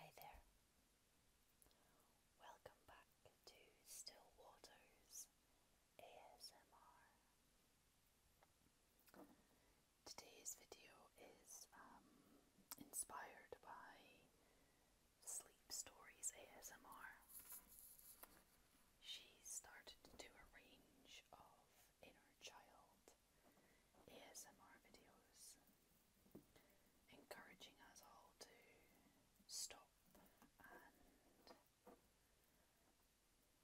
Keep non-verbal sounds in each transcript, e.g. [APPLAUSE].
Hi there. Welcome back to Still Waters ASMR. Today's video is um, inspired by Sleep Stories ASMR. She started to do a range of inner child ASMR videos, encouraging us all to stop and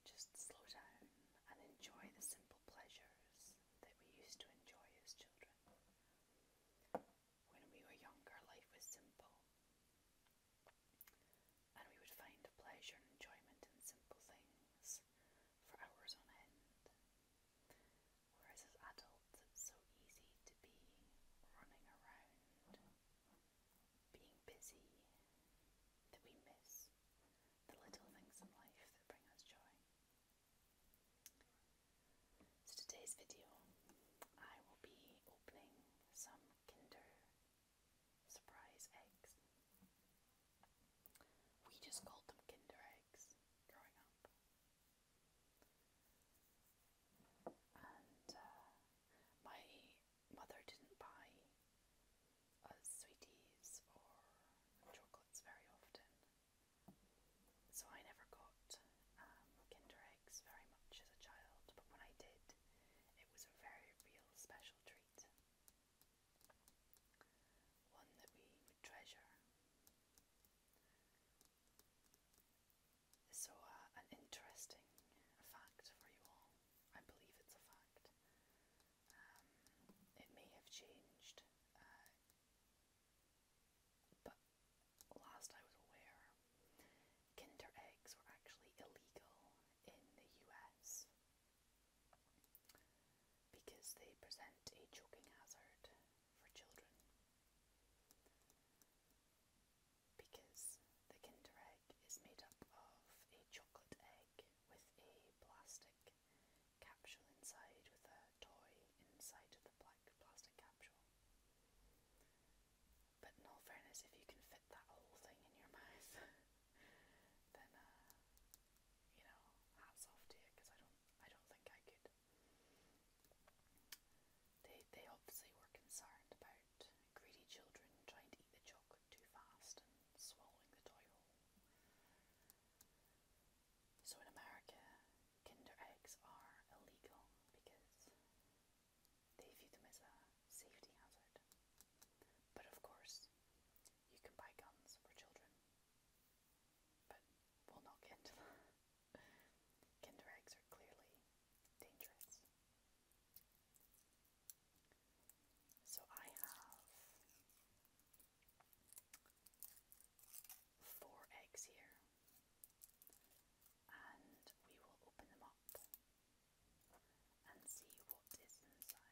just slow down and enjoy the simple pleasures that we used to enjoy as children. When we were younger, life was simple. And we would find pleasure and enjoyment in simple things for hours on end. Whereas as adults, it's so easy to be running around, being busy, that we miss the little things in life that bring us joy. So today's video, I will be opening some Kinder Surprise eggs. We just called them Kinder eggs topics growing up. And uh, my mother didn't buy us or chocolates very often, so I never got um, Kinder Eggs very much as a child, but when I did, it was a very real special treat. One that we treasure. So, uh, an interesting fact for you all. I believe it's a fact. Um, it may have changed, uh, but last I was aware, Kinder eggs were actually illegal in the US because they present a choking hazard for children because the Kinder Egg is made up of a chocolate egg with a plastic capsule inside with a toy inside of the black plastic capsule. But in all fairness, if you can fit that whole thing in your [LAUGHS] mouth, then uh, you know, hats off to you because I don't, I don't think I could. They, they obviously were concerned about greedy children trying to eat the chocolate too fast and swallowing the toy whole. So in America, Kinder eggs are illegal because they view them as a safety hazard. But of course, you can buy guns for children. But we'll not get into that. Kinder eggs are clearly dangerous. So I have four eggs here, and we will open them up and see what is inside.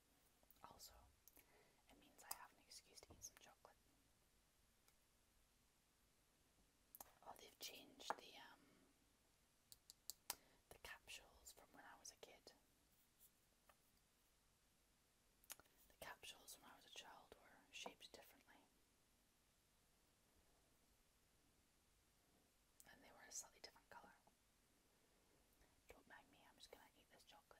Also, it means I have an excuse to eat some chocolate. Oh, they've changed the um, the capsules from when I was a kid. The capsules when I was a child were shaped differently. And they were a slightly different colour. Don't mind me, I'm just gonna eat this chocolate.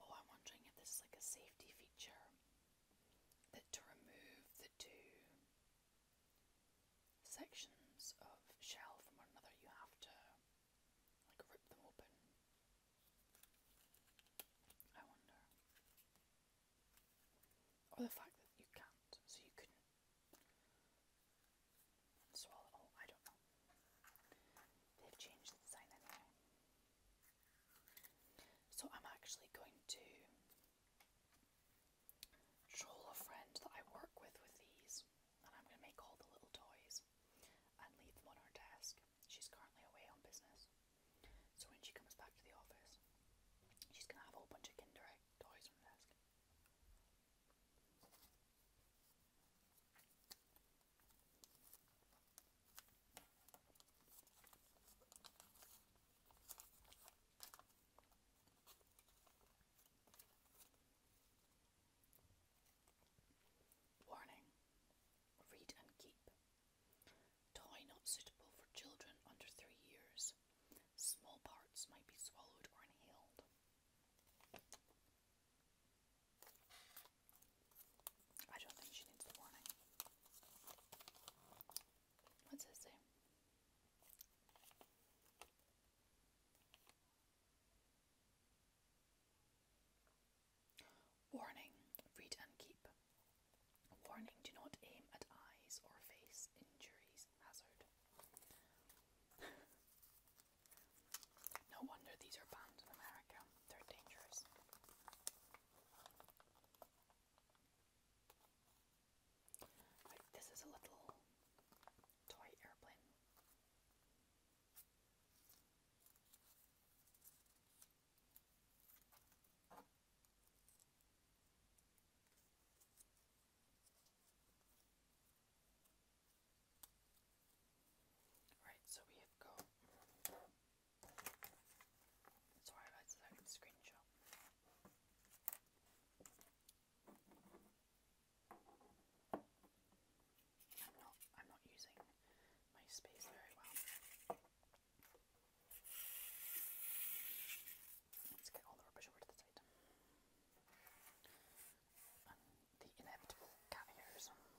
Oh, I'm wondering if this is like a safety feature that to remove the two sections of shell from one another, you have to like rip them open. I wonder. Or the fact that you can't, so you couldn't swallow it oh, all. I don't know. They've changed the design anyway. So I'm actually going to troll a friend that I work with with these, and I'm going to make all the little toys and leave them on her desk. She's currently away on business. So when she comes back to the office, she's going to have a whole bunch of Kinder Egg toys on the desk. Warning Read and keep. Toy not suitable for children under three years. Small parts might be swallowed or inhaled. I don't think she needs the warning. What's this say? Warning read and keep. Warning do not aim at eyes or face injuries hazard. [LAUGHS] no wonder these are banned in America, they're dangerous. this is a little toy airplane. Right, so we have Sorry, I lighted that in screenshot. I'm not I'm not using my space very well. Let's get all the rubbish over to the side. the inevitable cat Have a bit more chocolate.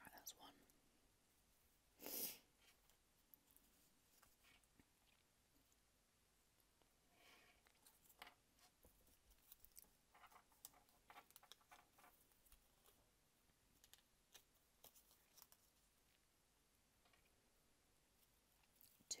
Right, that's one. Two.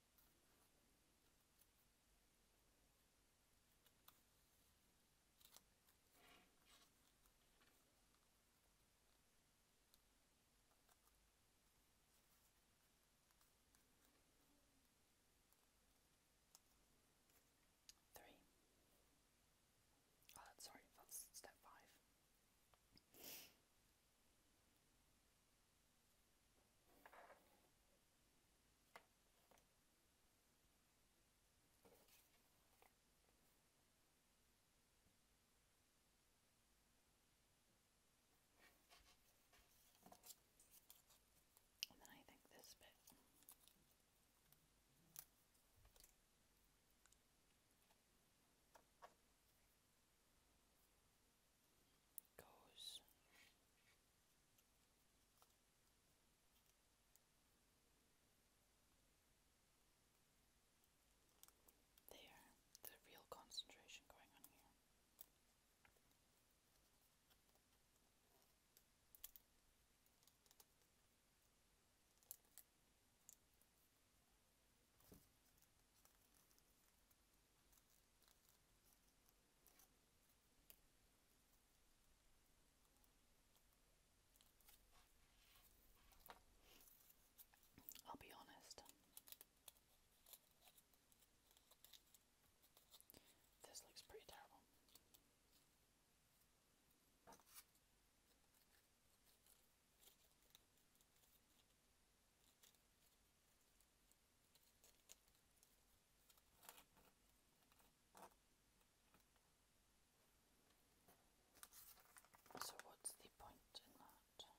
Three. Uh, sorry, step five. And then I think this bit goes there, the real concentration going on here. I'll be honest. This looks pretty terrible. So, what's the point in that? Who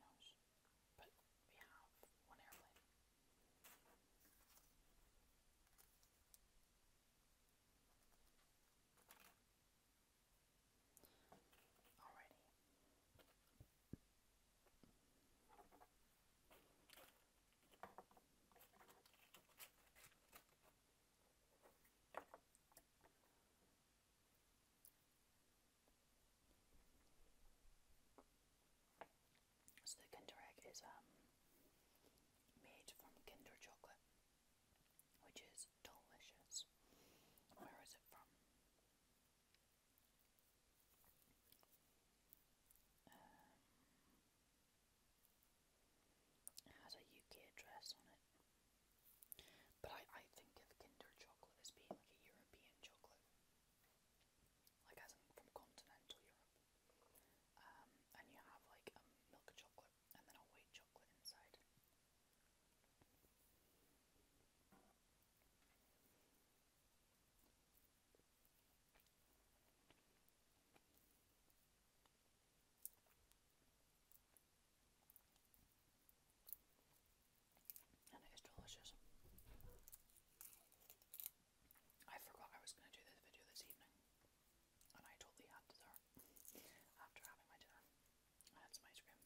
knows? But we have one airplane. Alrighty. So the Kinder Egg is um, made from Kinder chocolate, which is delicious. Where is it from? Um, it has a UK address on it. But I, I think Kinder chocolate as being like a European chocolate. Like as from continental Europe. Um, and you have like a milk chocolate and then a white chocolate inside. And it is delicious. I forgot I was going to do this video this evening, and I totally had dessert after having my dinner. I had some ice cream.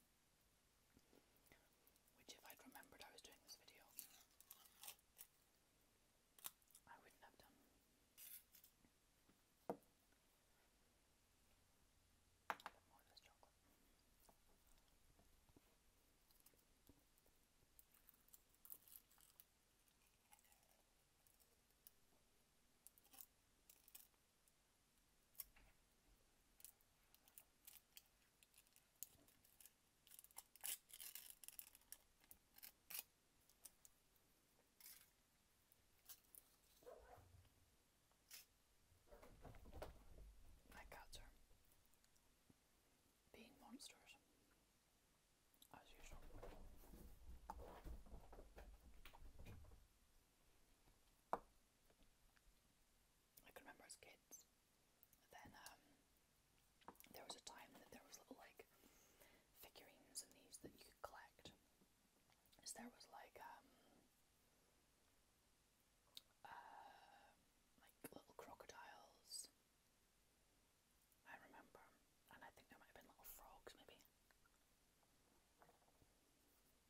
Which, if I'd remembered I was doing this video, I wouldn't have done. A bit more of this chocolate. My cats are being monsters, as usual. I can remember as kids. Then um, there was a time that there was little like figurines and these that you could collect. there was like um, uh, like little crocodiles. I remember, and I think there might have been little frogs maybe.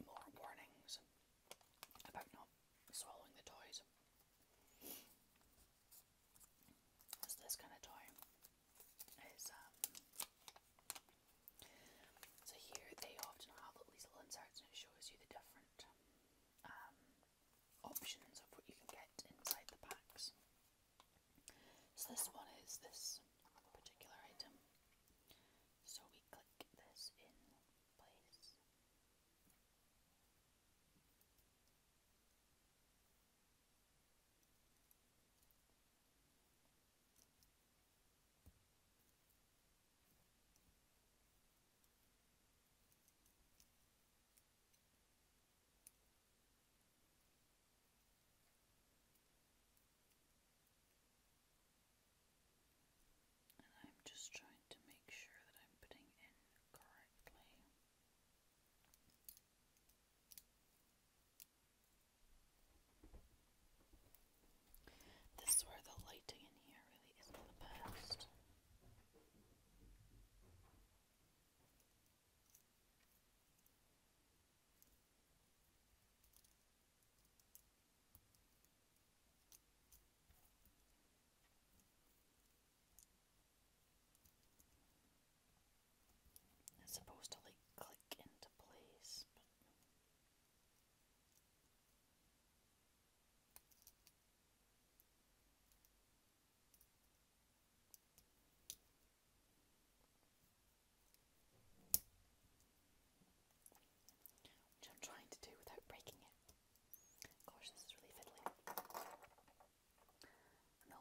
More warnings about not swallowing the toys. So this kind of toy um, so here they often have little inserts and it shows you the different um, options of what you can get inside the packs. So this one is this particular item. So we click this in place. And I'm just trying to make sure that I'm putting in correctly. This is where the lighting in here really isn't the best. It's supposed to like click into place, which I'm trying to do without breaking it. Gosh, this is really fiddly. the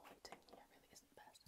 lighting here really isn't the best.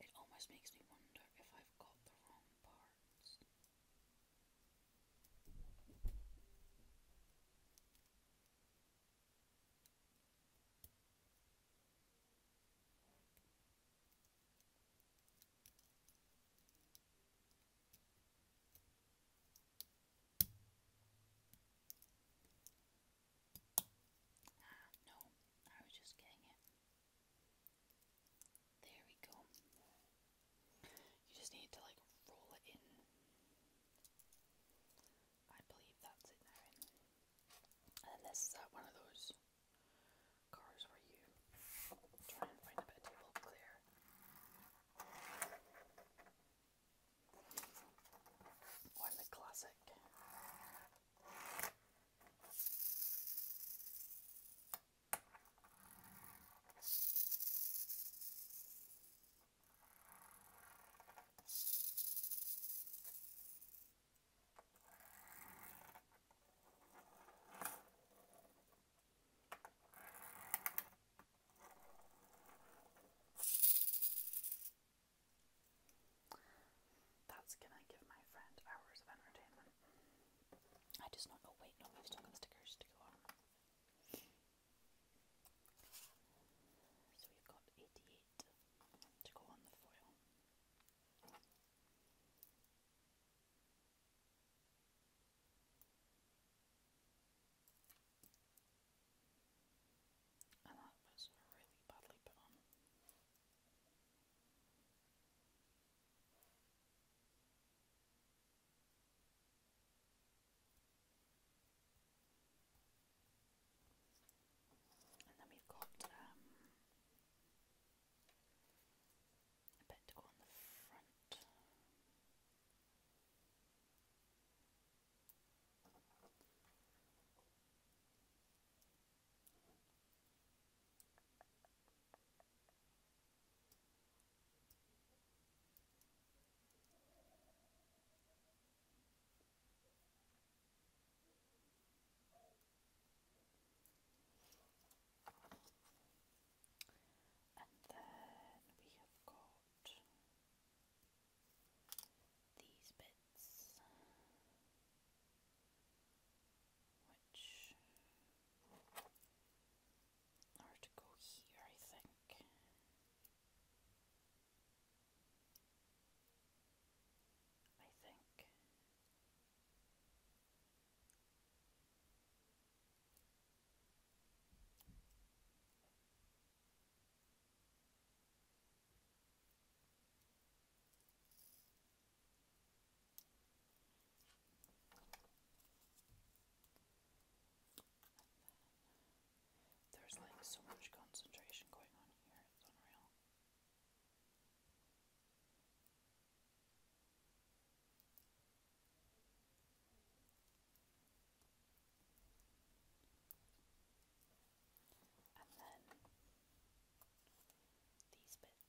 It almost makes me wonder if I've got the wrong part cards. Ah, no, I was just getting it. There we go. You just need to like roll it in. I believe that's it And this is uh, one of those cars where you try and find a bit of table clear. Oh, classic. That's gonna give my friend hours of entertainment. I just not. Oh wait, no, we've still got stickers to go on. So we've got 88 to go on the foil. And that was really badly put on. And then we've got um, a bit to go on the front. And then we have got these bits, which or to go here, I think. I think. There's like so much concentration going on here, it's unreal. And then these bits.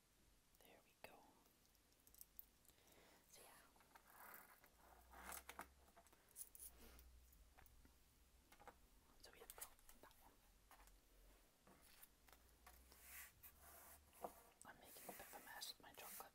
There we go. So, yeah. So we have that one. I'm making a bit of a mess with my chocolate.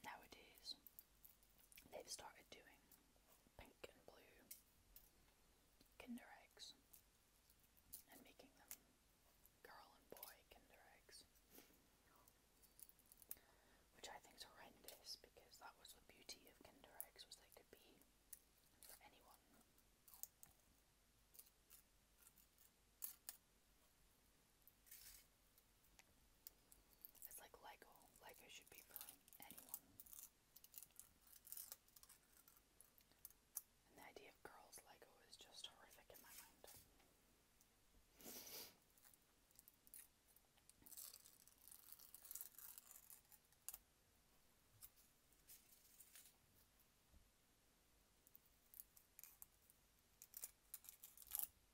nowadays they've started doing pink and blue Kinder eggs and making them girl and boy Kinder eggs, which I think is horrendous because that was the beauty of Kinder eggs was they could be for anyone. It's like Lego. Lego should be for anyone. And the idea of girls Lego is just horrific in my mind.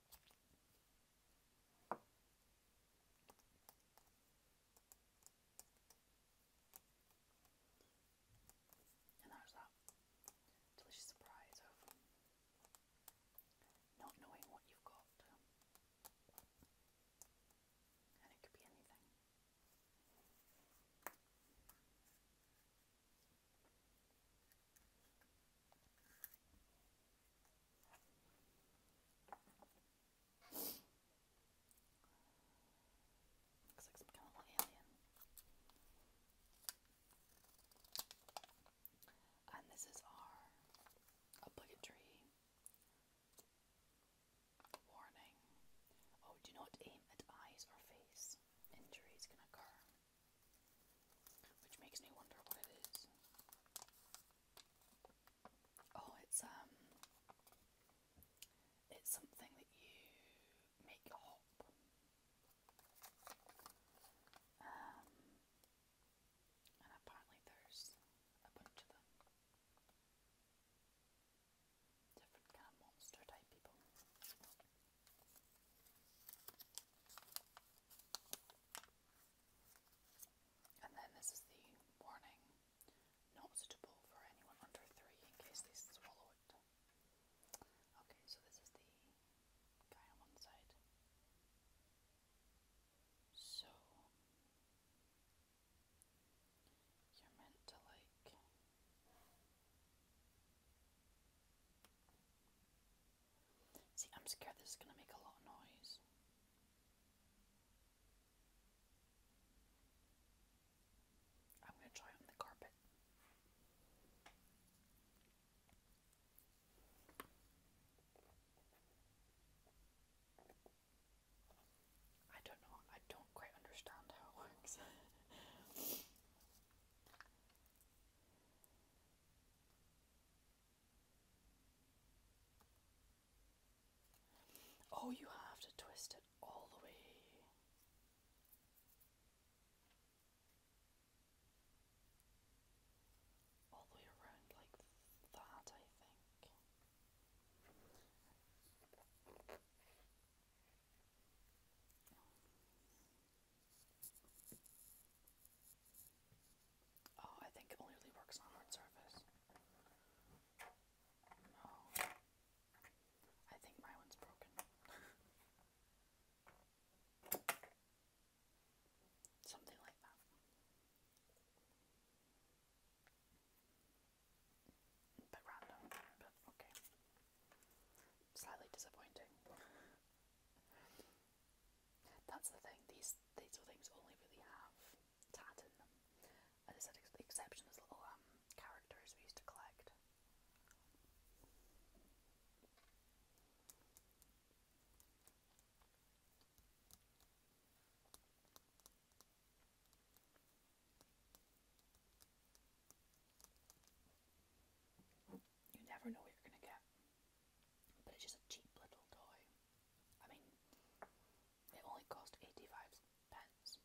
And there's that delicious surprise of not knowing what you've got. And it could be anything. Looks like And this is our obligatory warning. Oh, do not aim at eyes or face. Injuries can occur. Which makes me wonder what it is. Oh, it's um, it's something that you make hop. Um, and apparently there's a bunch of them. Different kind of monster type people. And then this is the warning not suitable for anyone under three in case they swallow it. Okay, so this is the guy on one side. So you're meant to like See, I'm scared this is going to make a lot of noise. I'm going to try on the carpet. I don't know, I don't quite understand how it works. [LAUGHS] Oh, you have to twist it all the way. All the way around like that, I think. Oh, I think it only really works on hard surface. Oh. I think my one's broken. [LAUGHS] Something like that. But random, but okay. Slightly disappointing. [LAUGHS] That's the thing, these, these little things only really have tat in them. As I said, ex the exception is little um, characters we used to collect. You never know what you're going to get but it's just a cheap little toy. I mean, it only cost 85 pence.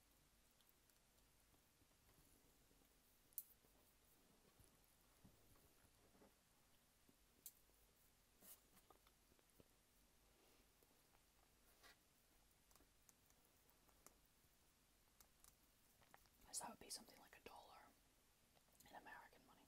So that would be something like a dollar in American money.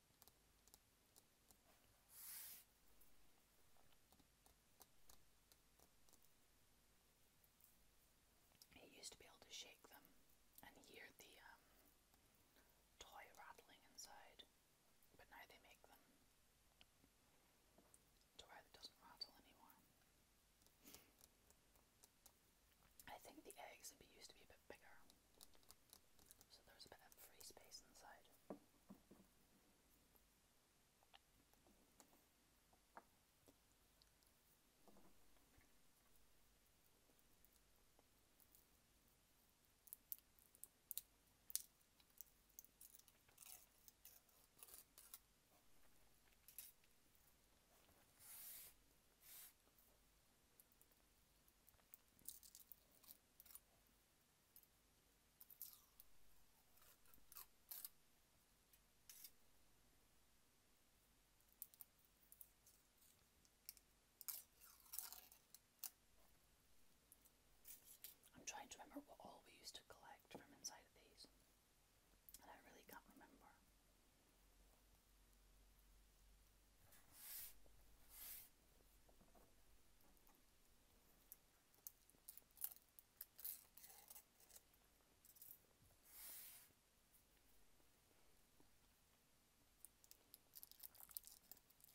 He used to be able to shake them and hear the um, toy rattling inside, but now they make them to where doesn't rattle anymore. I think the eggs used to be a bit bigger. So there's a bit of free space inside. I'm trying to remember what all we used to collect from inside of these, and I really can't remember.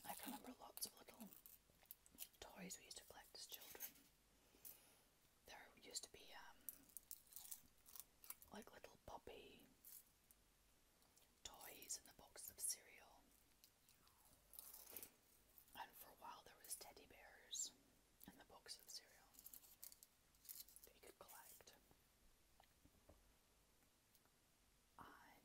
I remember lots of little toys we used to collect as children. There used to be um, like little puppy toys and the boxes of cereal. And for a while there was teddy bears and the boxes of cereal that you could collect. Um,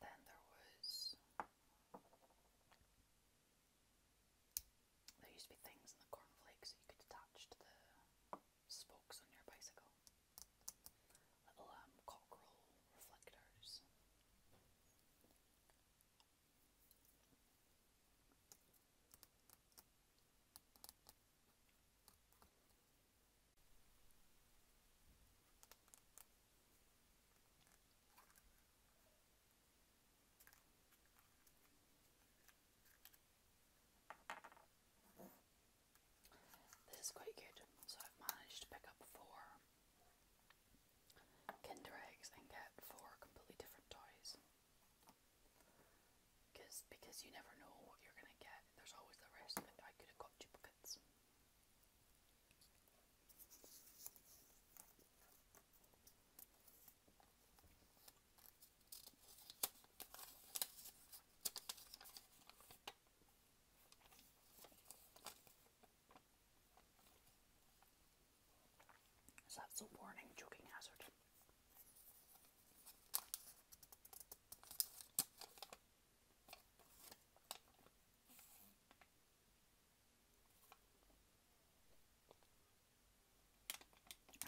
then there was there used to be things in the cornflakes that you could attach to the spokes on your bicycle. Little um, reflectors. This is quite good. So I've managed to pick up four Kinder eggs and get four completely different toys. Because because you never know what you're gonna get. There's always the risk that I could have got duplicates. So that's a warning choking hazard.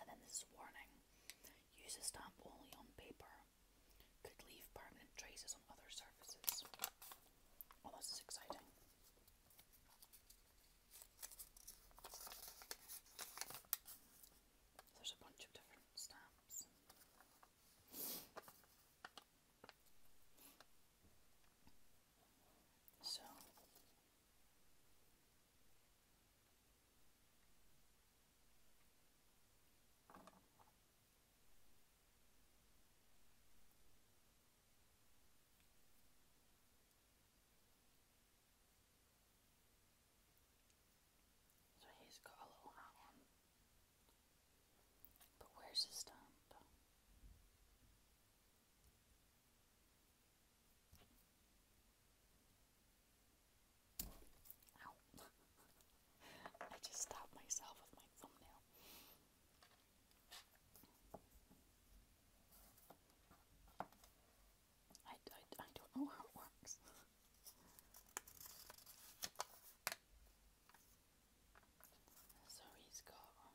And then this warning use a stamp only on paper, could leave permanent traces on other surfaces. Oh, this is exciting. There's a bunch of different stamps. So, so he's got a little hat on. But where's his stamp? [LAUGHS] I just stopped myself with my thumbnail. I, I, I don't know how it works. [LAUGHS] so he's got um,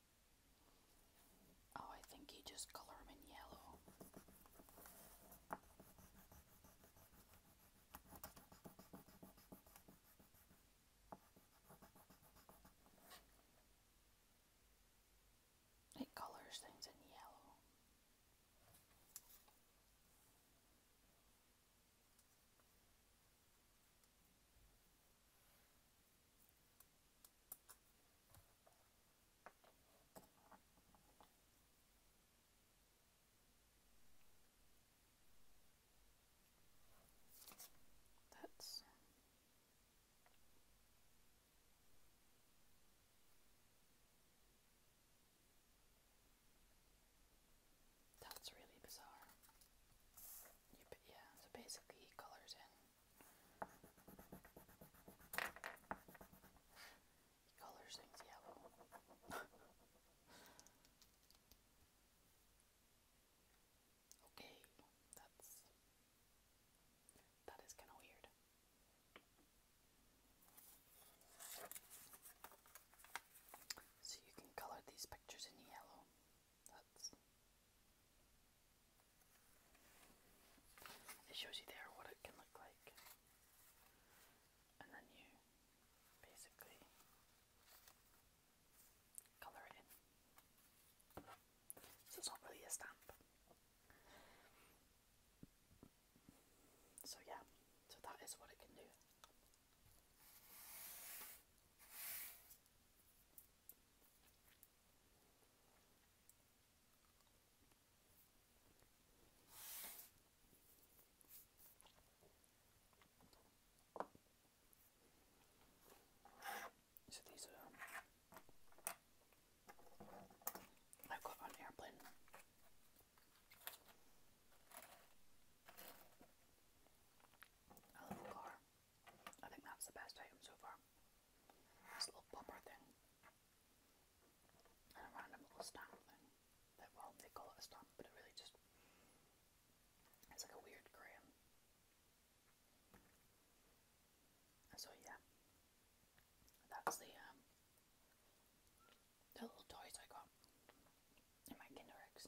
Oh, I think you just color them in yellow. It colors things in yellow. That's that's really bizarre. yeah, so basically colors in Colors yellow. okay, that's that is kind of weird. So you can color these pictures in yellow. That's it shows you there what it can look like, and then you basically colour it in. So it's not really a stamp. So, yeah, so that is what it can do. So these are um, I've got on airplane. I love a car. I think that's the best item so far. This little popper thing. And a random little stamp thing. well they call it a stamp, but it really just it's like a weird gram. so yeah. That's um, the little toys I got in my Kinder Eggs.